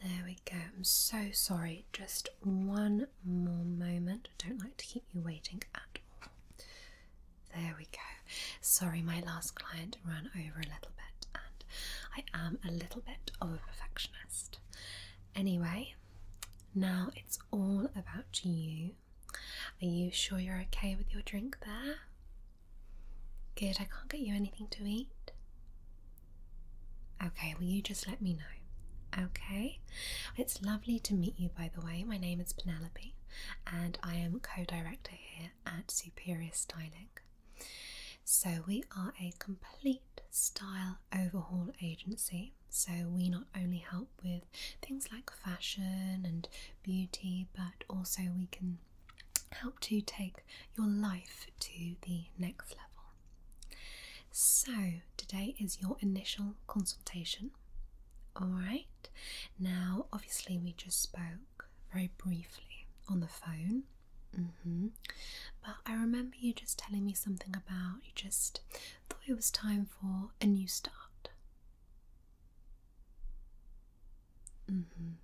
There we go. I'm so sorry. Just one more moment. I don't like to keep you waiting at all. There we go. Sorry, my last client ran over a little bit, and I am a little bit of a perfectionist. Anyway, now it's all about you are you sure you're okay with your drink there? Good, I can't get you anything to eat. Okay, Will you just let me know. Okay, it's lovely to meet you, by the way. My name is Penelope, and I am co director here at Superior Styling. So, we are a complete style overhaul agency so, we not only help with things like fashion and beauty, but also we can help to take your life to the next level. So, today is your initial consultation. Alright, now obviously, we just spoke very briefly on the phone. Mm-hmm. But I remember you just telling me something about you just thought it was time for a new start. Mm-hmm.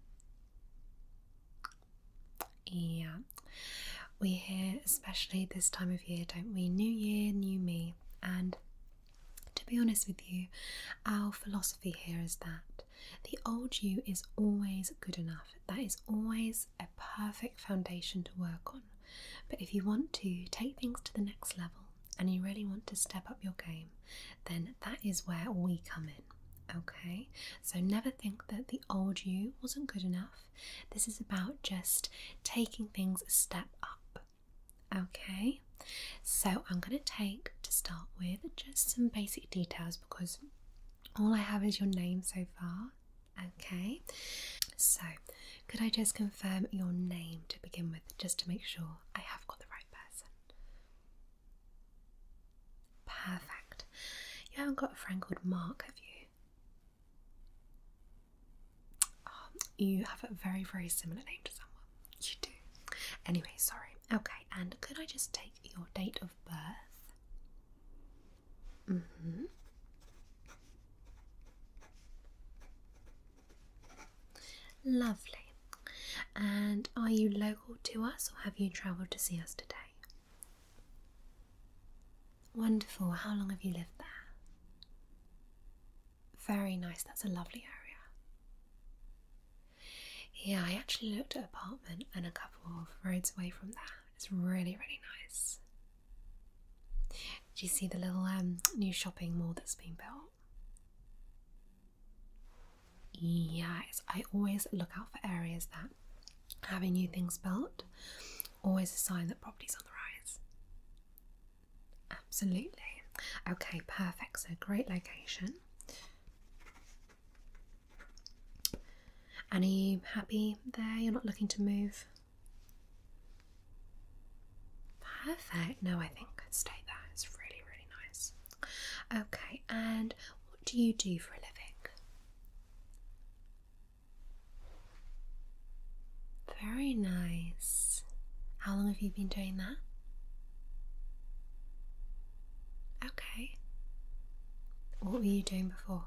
Yeah, we hear, especially this time of year, don't we? New year, new me. And to be honest with you, our philosophy here is that the old you is always good enough. That is always a perfect foundation to work on. But if you want to take things to the next level and you really want to step up your game, then that is where we come in. Okay, so never think that the old you wasn't good enough. This is about just taking things a step up. Okay, so I'm going to take to start with just some basic details because all I have is your name so far. Okay, so could I just confirm your name to begin with, just to make sure I have got the right person? Perfect. You haven't got a friend called Mark, have you? Oh, you have a very, very similar name to someone. You do. Anyway, sorry. Okay, and could I just take your date of birth? Mm-hmm. Lovely. And are you local to us or have you travelled to see us today? Wonderful. How long have you lived there? Very nice. That's a lovely area. Yeah, I actually looked at an apartment and a couple of roads away from there. It's really, really nice. Do you see the little um, new shopping mall that's been built? Yeah, I always look out for areas that having new things built, always a sign that property's on the rise. Absolutely. Okay, perfect. So great location. are you happy there? You're not looking to move? Perfect. No, I think I'd stay there. It's really, really nice. Okay, and what do you do for a living? Very nice. How long have you been doing that? Okay. What were you doing before?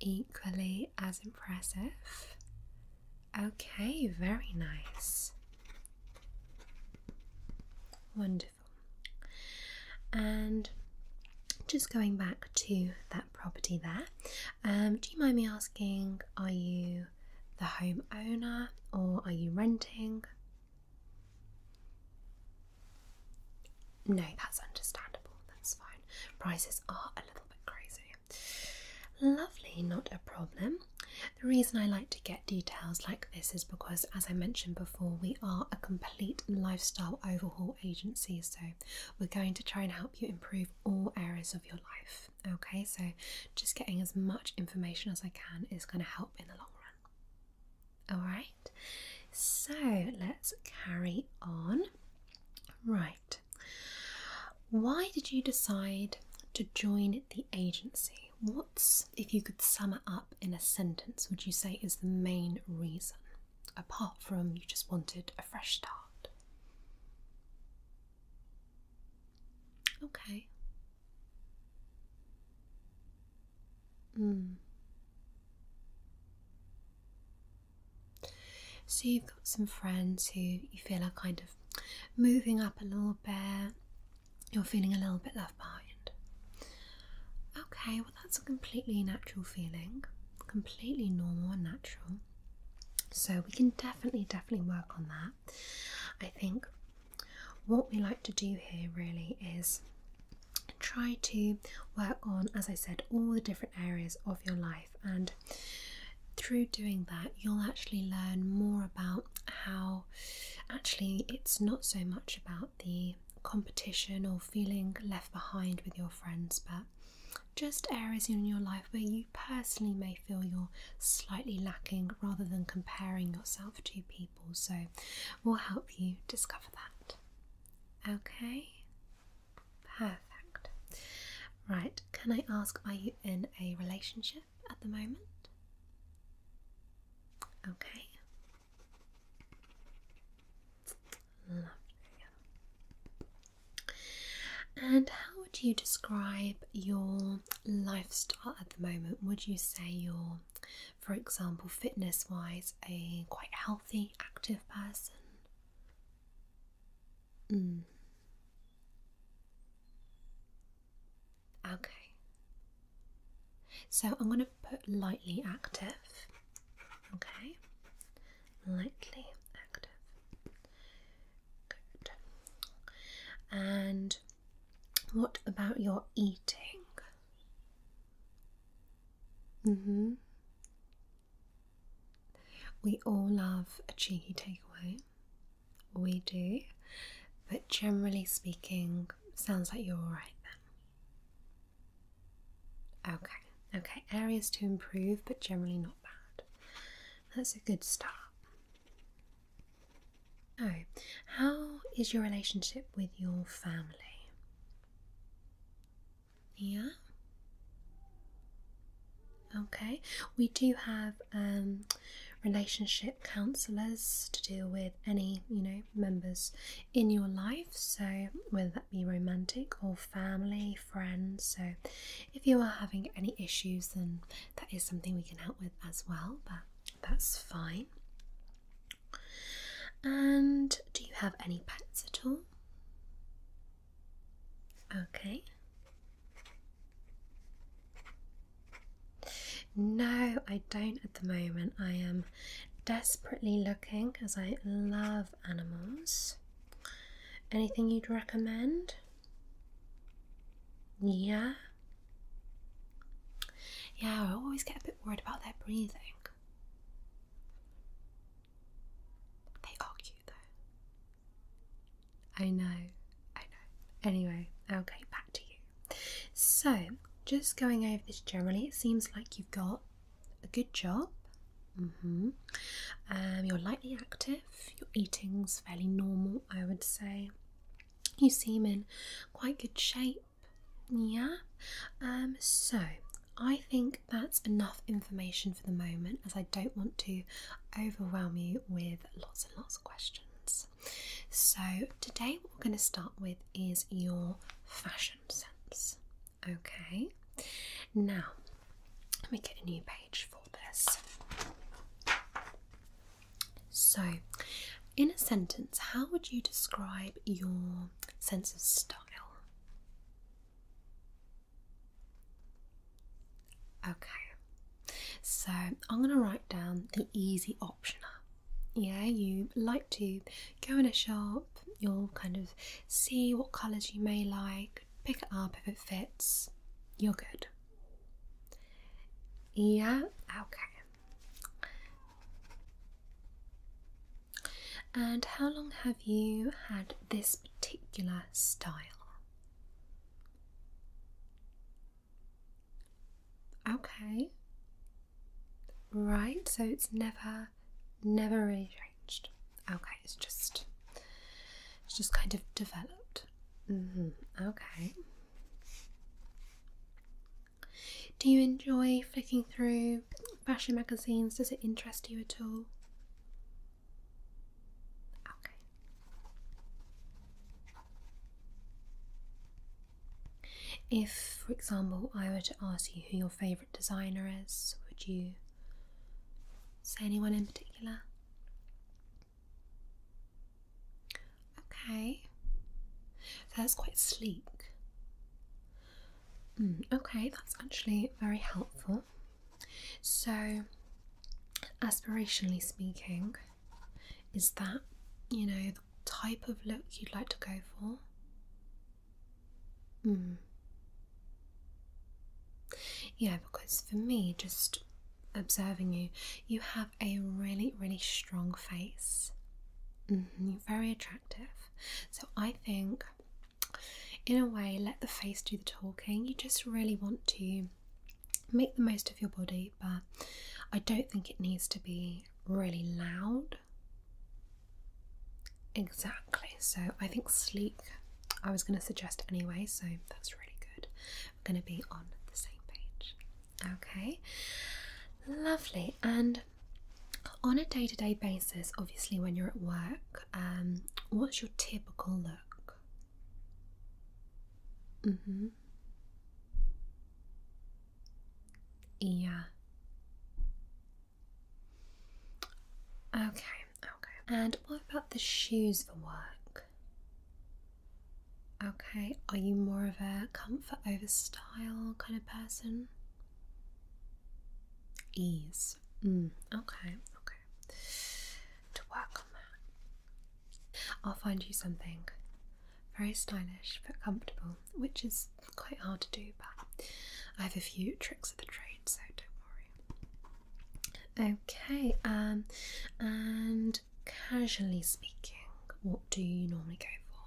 equally as impressive. Okay, very nice. Wonderful. And just going back to that property there, um, do you mind me asking, are you the homeowner or are you renting? No, that's understandable. That's fine. Prices are a little bit crazy. Lovely, not a problem. The reason I like to get details like this is because, as I mentioned before, we are a complete lifestyle overhaul agency, so we're going to try and help you improve all areas of your life. Okay, so just getting as much information as I can is going to help in the long run. Alright, so let's carry on. Right, why did you decide to join the agency? What's, if you could sum it up in a sentence, would you say is the main reason? Apart from you just wanted a fresh start. Okay. Mm. So you've got some friends who you feel are kind of moving up a little bit. You're feeling a little bit left behind. Okay, well that's a completely natural feeling, completely normal and natural. So we can definitely, definitely work on that. I think what we like to do here really is try to work on, as I said, all the different areas of your life. And through doing that, you'll actually learn more about how actually it's not so much about the competition or feeling left behind with your friends, but just areas in your life where you personally may feel you're slightly lacking rather than comparing yourself to people. So, we'll help you discover that. Okay, perfect. Right, can I ask, are you in a relationship at the moment? Okay. Lovely. And how would you describe your lifestyle at the moment? Would you say you're for example, fitness wise, a quite healthy, active person. Hmm. Okay. So I'm going to put lightly active. Okay. Lightly active. Good. And what about your eating? Mm-hmm. We all love a cheeky takeaway. We do. But generally speaking, sounds like you're alright then. Okay, okay, areas to improve, but generally not bad. That's a good start. Oh, how is your relationship with your family? Yeah. Okay, we do have um, relationship counsellors to deal with any you know members in your life, so whether that be romantic or family, friends. So, if you are having any issues, then that is something we can help with as well, but that's fine. And do you have any pets at all? Okay. No, I don't at the moment. I am desperately looking as I love animals. Anything you'd recommend? Yeah. Yeah, I always get a bit worried about their breathing. They are cute though. I know, I know. Anyway, I'll okay, back to you. So, just going over this generally, it seems like you've got a good job. Mm-hmm. Um, you're lightly active. Your eating's fairly normal, I would say. You seem in quite good shape. Yeah. Um, so I think that's enough information for the moment as I don't want to overwhelm you with lots and lots of questions. So today what we're going to start with is your fashion sense. Okay. Now let me get a new page for this. So in a sentence, how would you describe your sense of style? Okay, so I'm going to write down the easy optioner. Yeah, you like to go in a shop, you'll kind of see what colours you may like, pick it up if it fits, you're good. Yeah, okay. And how long have you had this particular style? Okay. Right, so it's never never really changed. Okay, it's just it's just kind of developed. Mm-hmm, okay. Do you enjoy flicking through fashion magazines? Does it interest you at all? Okay. If, for example, I were to ask you who your favourite designer is, would you say anyone in particular? Okay, so that's quite sleek. Hmm, okay, that's actually very helpful. So, aspirationally speaking, is that you know the type of look you'd like to go for? Hmm. Yeah, because for me, just observing you, you have a really, really strong face. Mm-hmm, you're very attractive. So I think, in a way, let the face do the talking. You just really want to make the most of your body, but I don't think it needs to be really loud. Exactly. So I think sleek, I was going to suggest anyway, so that's really good. We're going to be on the same page. Okay. Lovely. And on a day-to-day basis obviously when you're at work um, what's your typical look mm-hmm yeah okay okay and what about the shoes for work okay are you more of a comfort over style kind of person Ease. Mm. Okay, okay. To work on that, I'll find you something very stylish but comfortable, which is quite hard to do, but I have a few tricks of the trade, so don't worry. Okay, um, and casually speaking, what do you normally go for?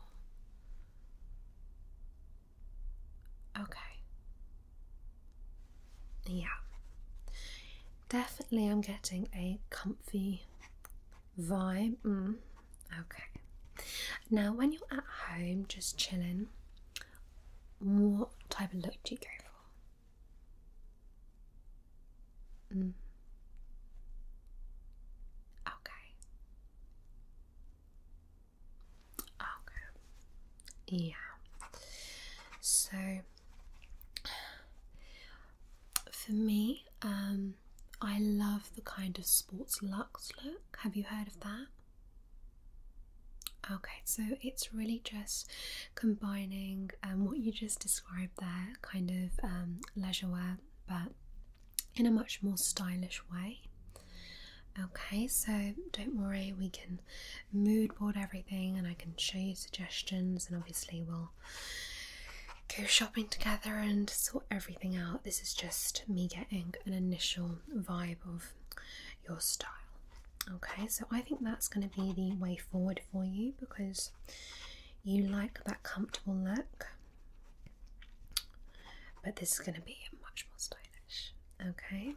Okay. Yeah. Definitely, I'm getting a comfy vibe. Mm. Okay. Now, when you're at home just chilling, what type of look do you go for? Mm. Okay. Ah, okay. Yeah. So for me, um, I love the kind of sports luxe look. Have you heard of that? Okay, so it's really just combining um, what you just described there, kind of um, leisurewear, but in a much more stylish way. Okay, so don't worry, we can mood board everything and I can show you suggestions, and obviously, we'll go shopping together and sort everything out. This is just me getting an initial vibe of your style. Okay, so I think that's going to be the way forward for you because you like that comfortable look. But this is going to be much more stylish. Okay.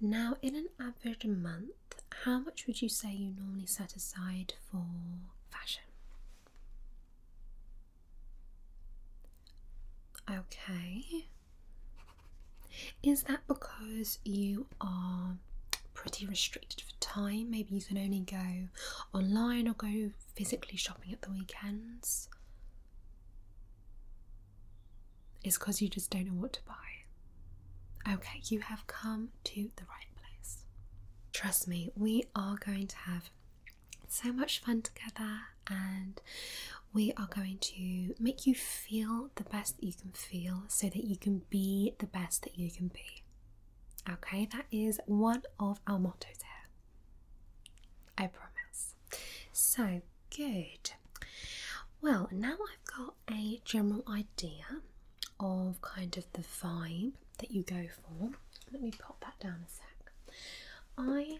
Now, in an average month, how much would you say you normally set aside for fashion? Okay. Is that because you are pretty restricted for time? Maybe you can only go online or go physically shopping at the weekends is because you just don't know what to buy. Okay, you have come to the right place. Trust me, we are going to have so much fun together and we are going to make you feel the best that you can feel so that you can be the best that you can be. Okay, that is one of our mottos here. I promise. So good. Well, now I've got a general idea of kind of the vibe that you go for. Let me pop that down a sec. I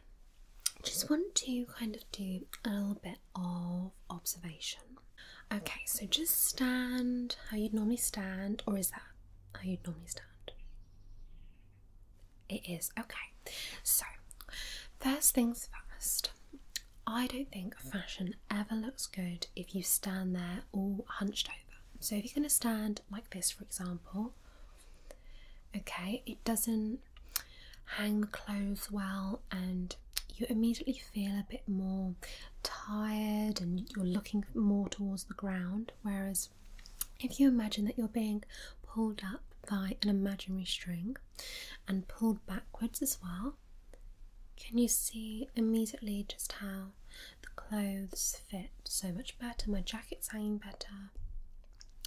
just want to kind of do a little bit of observation. Okay, so just stand how you'd normally stand, or is that how you'd normally stand? It is. Okay. So, first things first. I don't think fashion ever looks good if you stand there all hunched over. So, if you're going to stand like this, for example, okay, it doesn't hang the clothes well and you immediately feel a bit more tired and you're looking more towards the ground. Whereas if you imagine that you're being pulled up by an imaginary string and pulled backwards as well, can you see immediately just how the clothes fit so much better? My jacket's hanging better.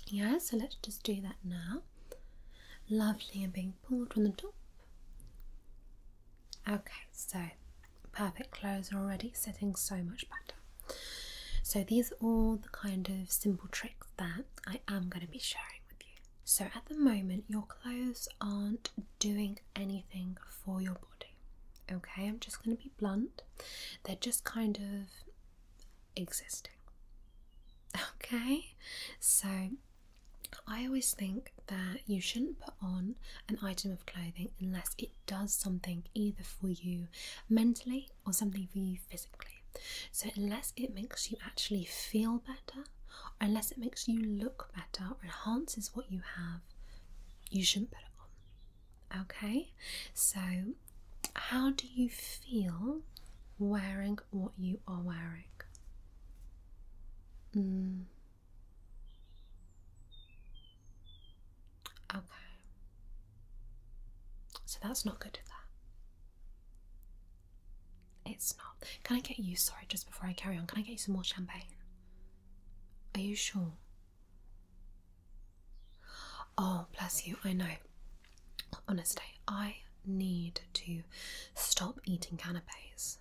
Yes, so let's just do that now. Lovely, and being pulled from the top. Okay, so perfect clothes are already sitting so much better. So these are all the kind of simple tricks that I am going to be sharing with you. So at the moment your clothes aren't doing anything for your body. Okay, I'm just going to be blunt. They're just kind of existing. Okay, so I always think that you shouldn't put on an item of clothing unless it does something either for you mentally or something for you physically. So, unless it makes you actually feel better, unless it makes you look better or enhances what you have, you shouldn't put it on. Okay? So, how do you feel wearing what you are wearing? Mm. Okay. So that's not good, is that? It's not. Can I get you, sorry, just before I carry on, can I get you some more champagne? Are you sure? Oh, bless you, I know. Honestly, I need to stop eating canapes.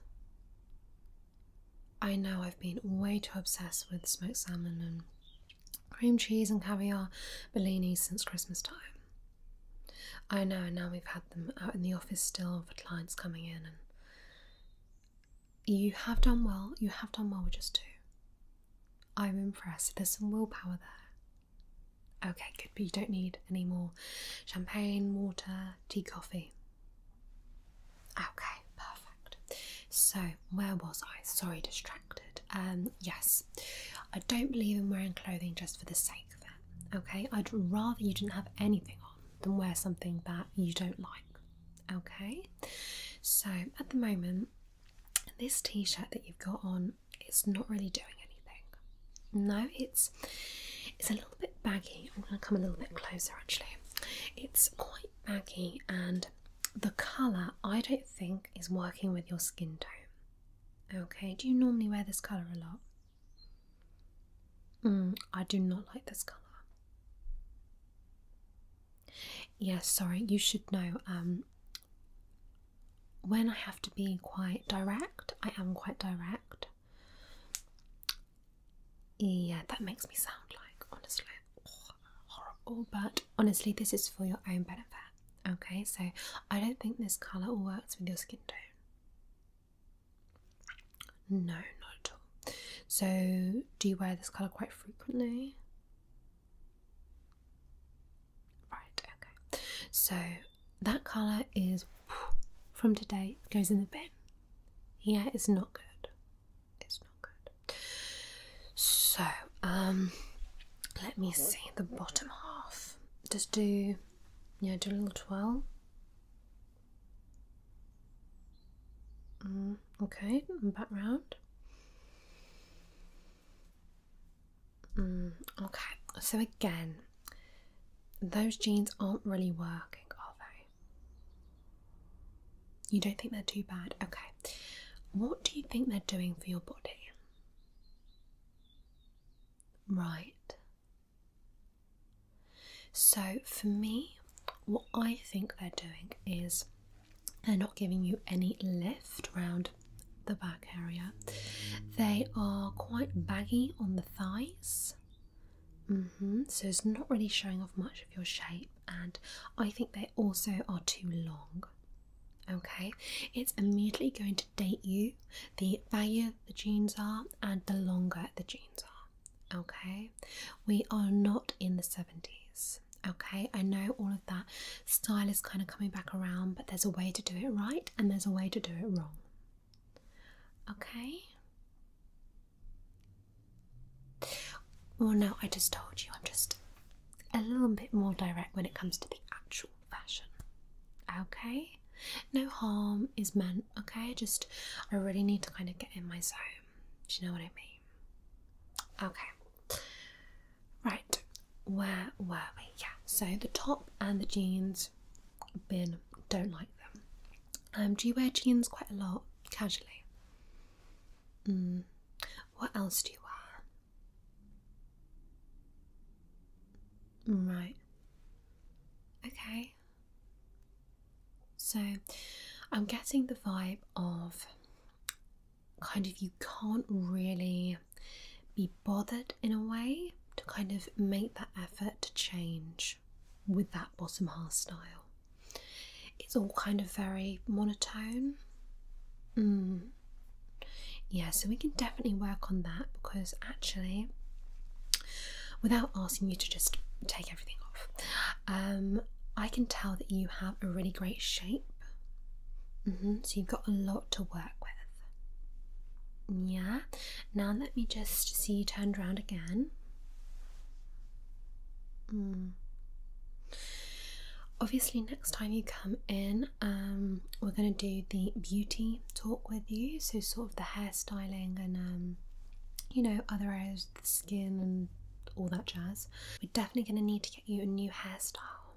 I know I've been way too obsessed with smoked salmon and cream cheese and caviar Bellinis since Christmas time. I know, and now we've had them out in the office still for clients coming in, and you have done well. You have done well with just two. I'm impressed. There's some willpower there. Okay, good, but you don't need any more champagne, water, tea, coffee. Okay, perfect. So, where was I? Sorry, distracted. Um, yes, I don't believe in wearing clothing just for the sake of it. Okay, I'd rather you didn't have anything on than wear something that you don't like. Okay, so at the moment, this t shirt that you've got on is not really doing anything. No, it's it's a little bit baggy. I'm going to come a little bit closer actually. It's quite baggy and the colour I don't think is working with your skin tone. Okay, do you normally wear this colour a lot? Mm, I do not like this colour. Yes, sorry, you should know. Um, when I have to be quite direct, I am quite direct. Yeah, that makes me sound like, honestly horrible, but honestly, this is for your own benefit. Okay, so I don't think this colour works with your skin tone. No, not at all. So, do you wear this colour quite frequently? Right, okay. So, that colour is from today, goes in the bin. Yeah, it's not good it's not good. So, um, let me see the bottom half. Just do, yeah, do a little twirl. Mm, okay, back round. Mm, okay, so again, those jeans aren't really working, are they? You don't think they're too bad? Okay. What do you think they're doing for your body? Right. So, for me, what I think they're doing is they're not giving you any lift round the back area. They are quite baggy on the thighs. Mm-hmm. So it's not really showing off much of your shape and I think they also are too long. Okay, it's immediately going to date you the value the jeans are and the longer the jeans are. Okay, we are not in the 70s. Okay, I know all of that style is kind of coming back around, but there's a way to do it right and there's a way to do it wrong. Okay, well, no, I just told you I'm just a little bit more direct when it comes to the actual fashion. Okay? No harm is meant, okay? Just, I really need to kind of get in my zone. Do you know what I mean? Okay. Right, where were we? Yeah, so the top and the jeans, bin, don't like them. Um, do you wear jeans quite a lot casually? Mm. What else do you wear? Right. Okay. So I'm getting the vibe of kind of you can't really be bothered in a way to kind of make that effort to change with that bottom half style. It's all kind of very monotone. Hmm. Yeah, so we can definitely work on that because actually, without asking you to just take everything off, um, I can tell that you have a really great shape. Mm-hmm. So you've got a lot to work with. Yeah. Now let me just see you turned around again. Mm. Obviously, next time you come in, um, we're going to do the beauty talk with you. So, sort of the hairstyling and, um, you know, other areas of the skin and all that jazz. We're definitely going to need to get you a new hairstyle,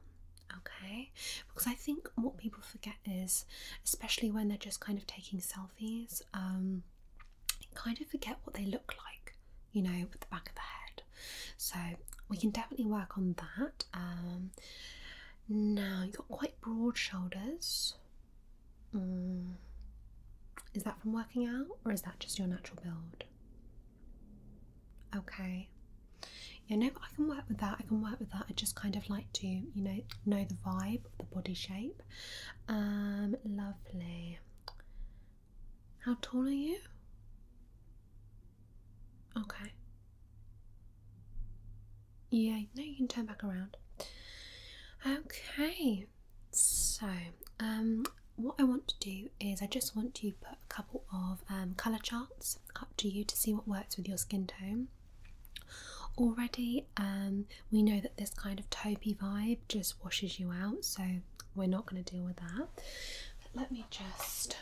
okay? Because I think what people forget is, especially when they're just kind of taking selfies, um, kind of forget what they look like you know, with the back of the head. So we can definitely work on that. Um, now you've got quite broad shoulders. Mm. Is that from working out or is that just your natural build? Okay. You know, I can work with that. I can work with that. I just kind of like to, you know, know the vibe, the body shape. Um, lovely. How tall are you? Okay. Yeah, now you can turn back around. Okay, so um, what I want to do is I just want to put a couple of um, colour charts up to you to see what works with your skin tone. Already, um, we know that this kind of taupey vibe just washes you out, so we're not going to deal with that. let me just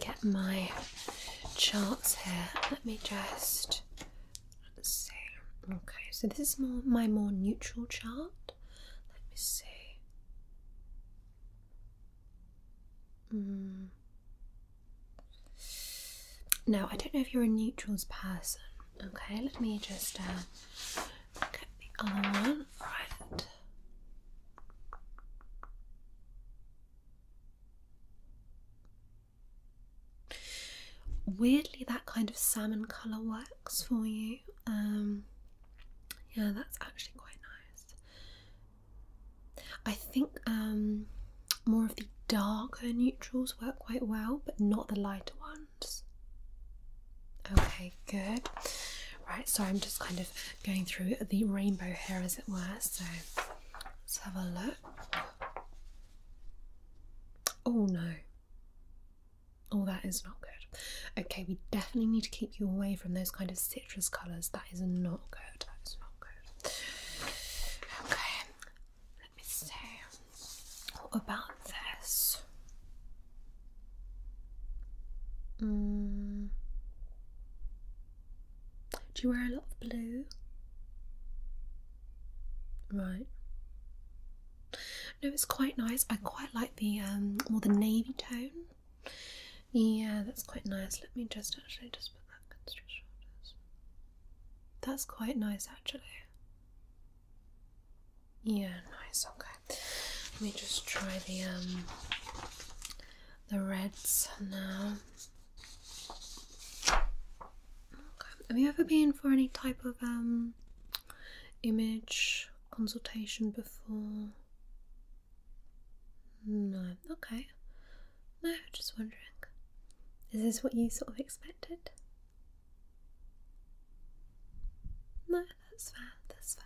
get my charts here. Let me just see. Okay, so this is more my more neutral chart. Let me see. Mm. Now, I don't know if you're a neutrals person. Okay, let me just uh, get the other one. Weirdly, that kind of salmon colour works for you. Um, yeah, that's actually quite nice. I think um, more of the darker neutrals work quite well, but not the lighter one. Okay, good. Right, so I'm just kind of going through the rainbow here, as it were. So let's have a look. Oh no. Oh, that is not good. Okay, we definitely need to keep you away from those kind of citrus colours. That is not good. That is not good. Okay, let me see. about this. Mm. Do you wear a lot of blue? Right. No, it's quite nice. I quite like the um more the navy tone. Yeah, that's quite nice. Let me just actually just put that against your shoulders. That's quite nice actually. Yeah, nice. Okay, let me just try the um the reds now. Have you ever been for any type of um image consultation before? No. Okay. No, just wondering. Is this what you sort of expected? No, that's fair, that's fair.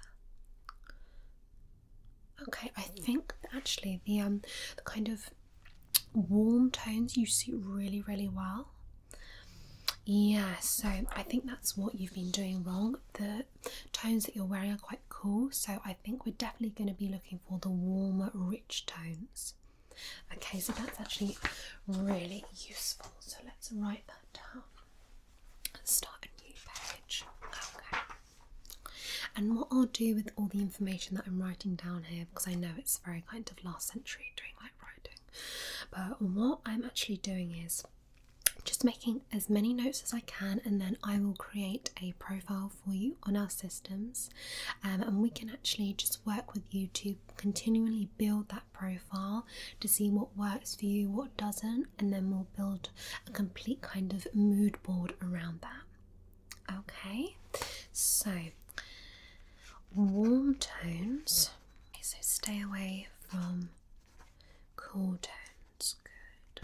Okay, I think actually the um the kind of warm tones you suit really, really well. Yeah, so I think that's what you've been doing wrong. The tones that you're wearing are quite cool, so I think we're definitely going to be looking for the warmer, rich tones. Okay, so that's actually really useful. So let's write that down start a new page. Okay. And what I'll do with all the information that I'm writing down here, because I know it's very kind of last century doing like writing, but what I'm actually doing is just making as many notes as I can, and then I will create a profile for you on our systems, um, and we can actually just work with you to continually build that profile to see what works for you, what doesn't, and then we'll build a complete kind of mood board around that. Okay, so warm tones, so stay away from cool tones. Good.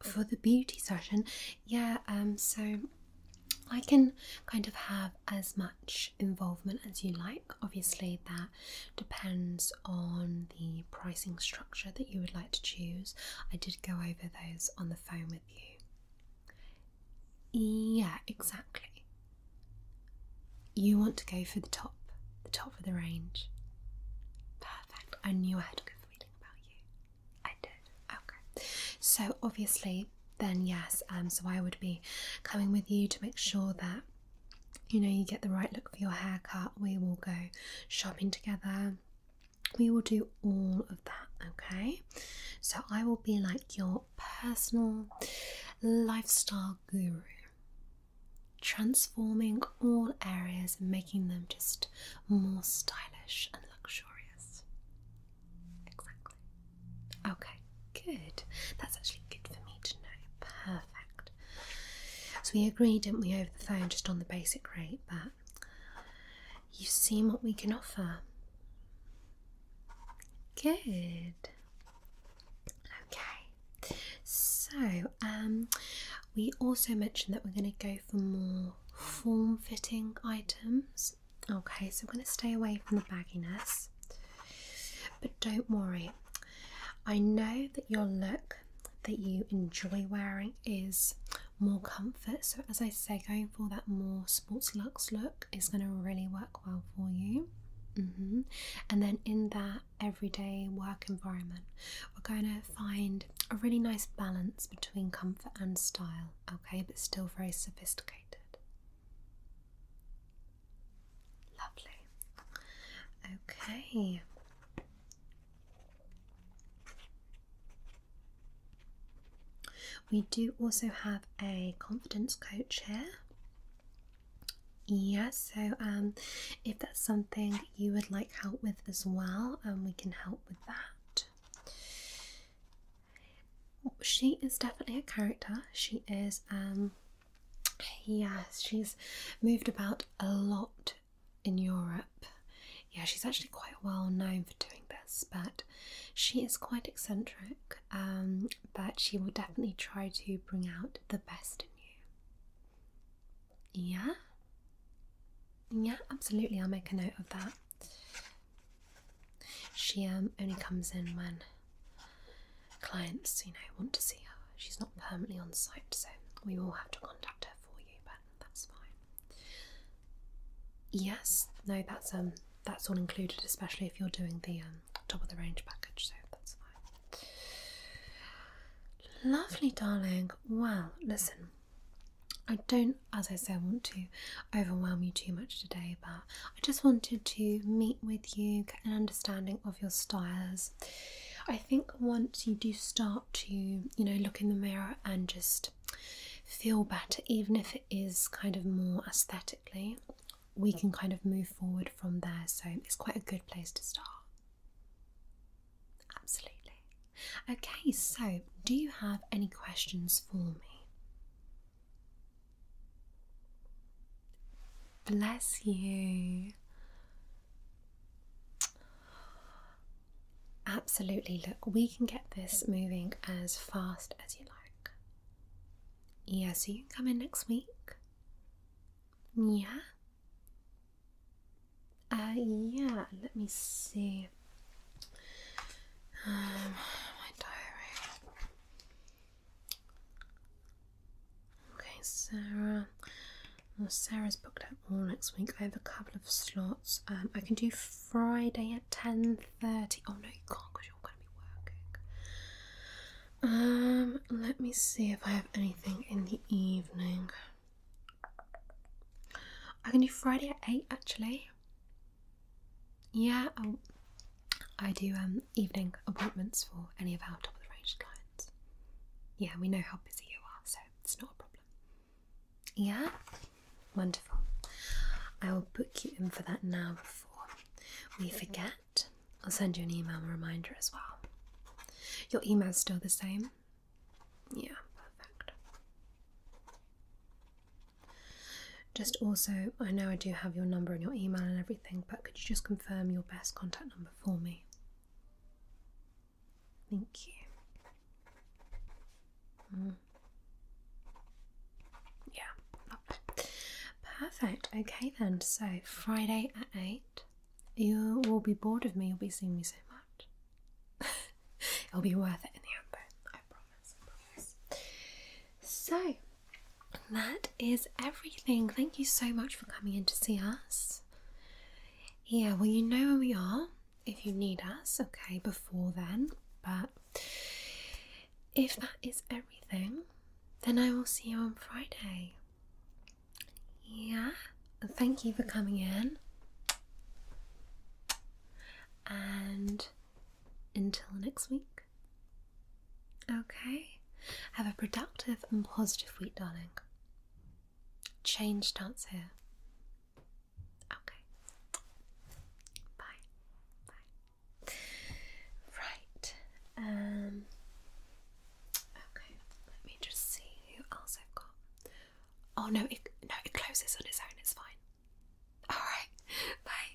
For the beauty session, yeah, um, so I can kind of have as much involvement as you like. Obviously, that depends on the pricing structure that you would like to choose. I did go over those on the phone with you. Yeah, exactly. You want to go for the top, the top of the range. Perfect. I knew I had a good feeling about you. I did. Okay. So obviously, then yes. Um, so I would be coming with you to make sure that you know you get the right look for your haircut. We will go shopping together. We will do all of that. Okay. So I will be like your personal lifestyle guru. Transforming all areas and making them just more stylish and luxurious. Exactly. Okay, good. That's actually good for me to know. Perfect. So we agreed, didn't we, over the phone, just on the basic rate, but you've seen what we can offer. Good. Okay. So, um, we also mentioned that we're going to go for more form fitting items. Okay, so I'm going to stay away from the bagginess. But don't worry, I know that your look that you enjoy wearing is more comfort. So, as I say, going for that more sports luxe look is going to really work well for you. Mm-hmm. And then in that everyday work environment, we're going to find a really nice balance between comfort and style, okay, but still very sophisticated. Lovely. Okay. We do also have a confidence coach here. Yeah, so um, if that's something you would like help with as well, um, we can help with that. She is definitely a character. She is, um, yes, she's moved about a lot in Europe. Yeah, she's actually quite well known for doing this, but she is quite eccentric. Um, but she will definitely try to bring out the best in you. Yeah? Yeah, absolutely. I'll make a note of that. She um, only comes in when clients, you know, want to see her. She's not permanently on site, so we will have to contact her for you, but that's fine. Yes, no, that's um, that's all included, especially if you're doing the um, top of the range package, so that's fine. Lovely, darling. Well, listen, I don't, as I say, want to overwhelm you too much today, but I just wanted to meet with you, get an understanding of your styles. I think once you do start to, you know, look in the mirror and just feel better, even if it is kind of more aesthetically, we can kind of move forward from there. So it's quite a good place to start. Absolutely. Okay, so do you have any questions for me? Bless you. Absolutely. Look, we can get this moving as fast as you like. Yeah, so you can come in next week. Yeah. Uh, yeah, let me see. Um, my diary. Okay, Sarah. Sarah's booked out all next week. I have a couple of slots. Um, I can do Friday at ten thirty. Oh no, you can't because you're going to be working. Um, let me see if I have anything in the evening. I can do Friday at eight actually. Yeah, um, i do um, evening appointments for any of our top of the range clients. Yeah, we know how busy you are, so it's not a problem. Yeah, wonderful. I will book you in for that now before we forget. I'll send you an email reminder as well. Your email's still the same? Yeah, perfect. Just also, I know I do have your number and your email and everything, but could you just confirm your best contact number for me? Thank you. Mm. Yeah, lovely. Perfect. Okay, then. So, Friday at 8. You will be bored of me, you'll be seeing me so much. It'll be worth it in the end, though. I promise. I promise. So that is everything. Thank you so much for coming in to see us. Yeah, well, you know where we are if you need us, okay, before then. But if that is everything, then I will see you on Friday. Yeah, thank you for coming in. And until next week. Okay. Have a productive and positive week, darling. Change starts here. Okay. Bye. Bye. Right. Um, okay. Let me just see who else I've got. Oh no! no, it closes on its own. It's fine. Alright, bye.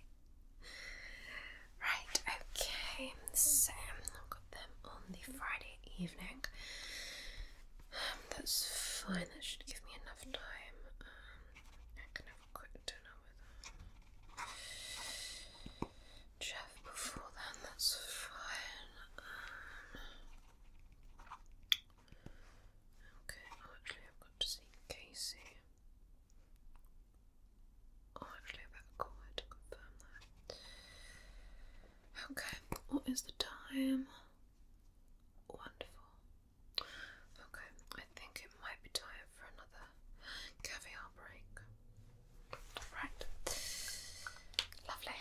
Right, okay, so I've got them on the Friday evening. Um, that's fine, that should give me enough time. Um, I can have a quick dinner with um, Jeff before then, that's fine. Okay, actually I've got to see Casey. Oh actually I better call her to confirm that. Okay, what is the time? Wonderful. Okay, I think it might be time for another caviar break. Right. Lovely.